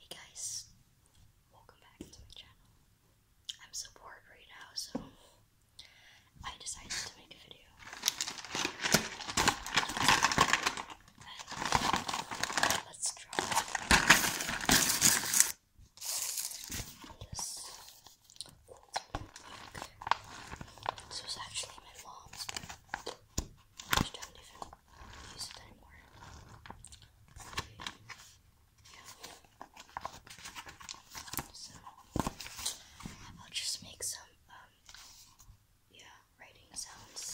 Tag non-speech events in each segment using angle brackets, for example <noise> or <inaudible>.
Hey guys, welcome back to my channel. I'm so bored right now, so I decided to make a video. let's draw this This was actually my mom's, I'll just make some um, yeah writing sounds.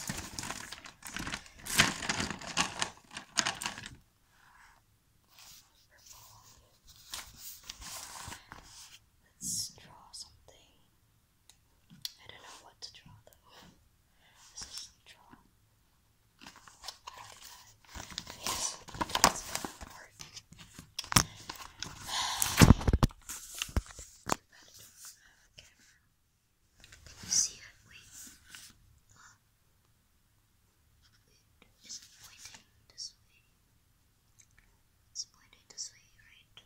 Let's draw something. I don't know what to draw though. This is draw. Yes, that's gonna see it? Wait. Wait. Is pointing this way? It's pointing this way, right?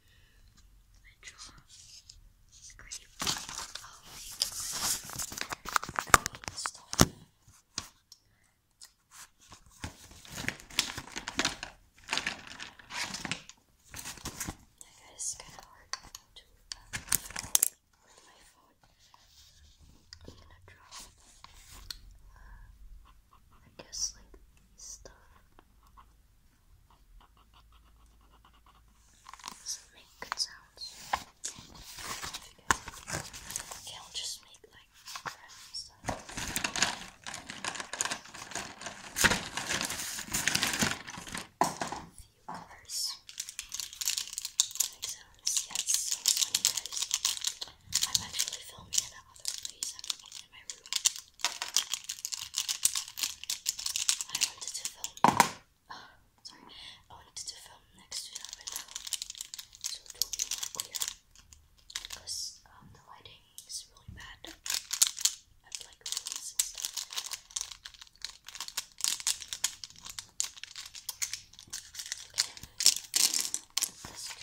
I draw great of great I got it's kind of hard to with my phone. I'm gonna draw, I guess, like stuff does make good sounds. Okay, I'll just make like crap stuff. few covers. Make sounds, yes, so funny guys. I'm actually filming in other place. i my room. I wanted to film. Oh, <gasps> sorry, I wanted to film next to that window, so it will be more clear. Because um, the lighting is really bad. I have like ruins and stuff. Okay, Let's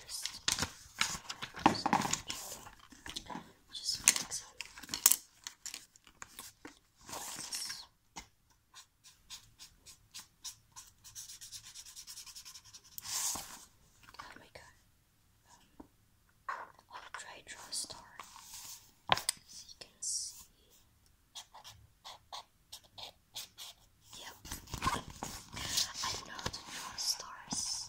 just just like so. Like this. There um, I'll try to draw a star so you can see. Yep. I know how to draw stars.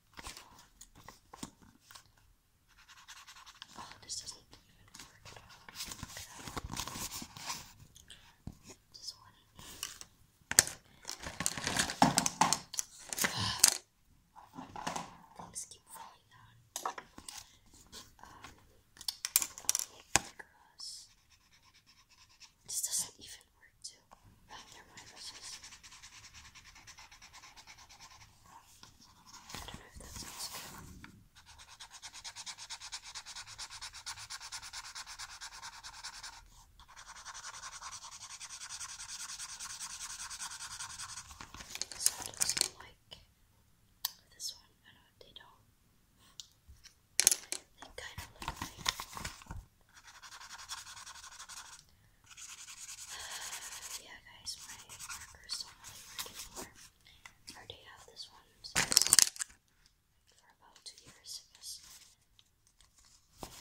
Oh, this doesn't even work at all. Look one. Things <sighs> keep falling down. Um, okay, this doesn't even work to wrap ah, their mind I don't know if that sounds So it looks like this one. I know they don't. They kind of look like <sighs> yeah, guys, my markers don't really anymore. I already have this one for about two years, I guess. Oh,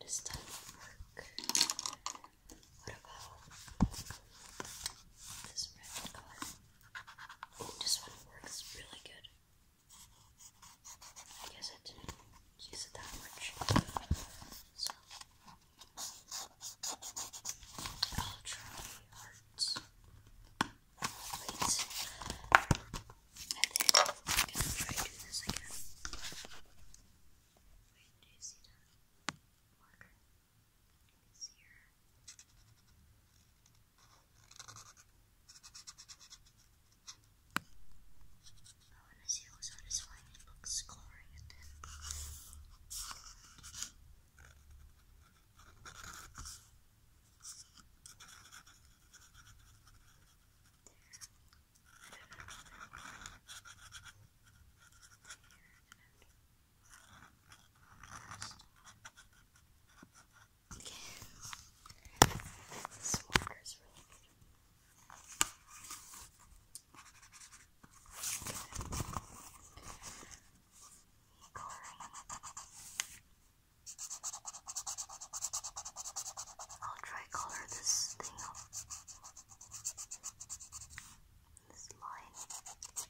does that work? What about this red color? this one works really good. I guess I didn't use it that much. So, I'll try hearts. Wait. I think i do this again. Wait, do you see that marker? Let me see her. I want to see also this one looks glowing at them. I don't know. Here and Okay. This is really good. I'll try color this thing This line.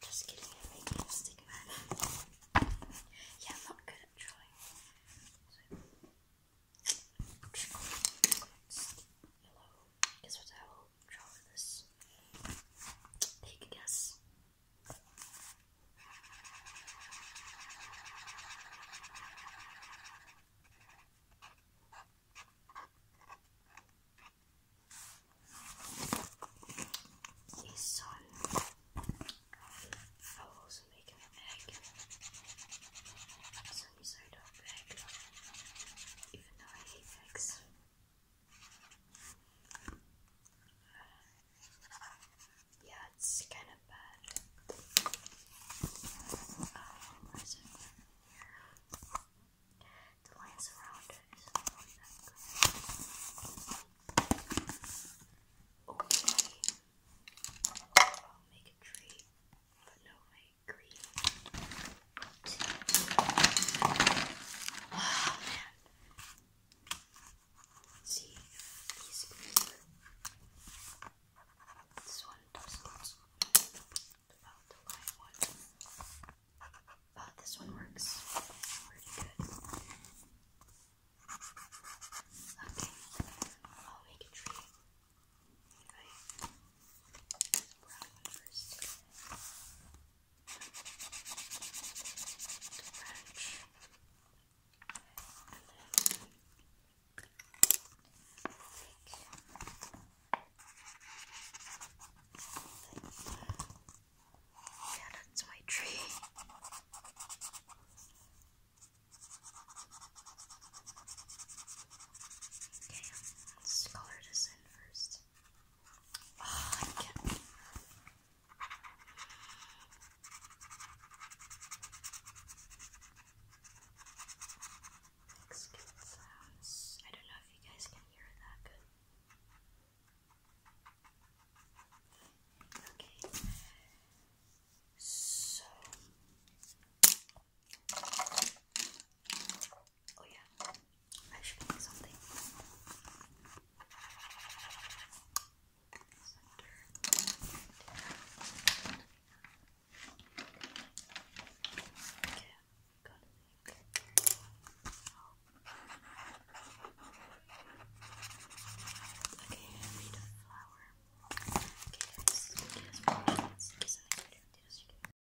Just kidding, yeah, I'm not good at drawing. So. Hello, guess what I will draw this? Take a guess. This one, I'll also make an egg. Some sort of egg, even though I hate eggs. Yeah, it's kind of bad. The lines around it is Okay. I'll make a tree, but no, wait, green. Oh man. See these This one doesn't this one works pretty good. Okay, I'll make a tree. Right. Brown one first yeah, that's my tree. <laughs> Okay, let's color this in first. Oh, I I don't know if you guys can hear that good. Okay. So Oh yeah, I should make something. Okay, got it. Okay, I a flower. Okay, guys, okay, guys, guys, guys, guys, guys, guys, guys, guys,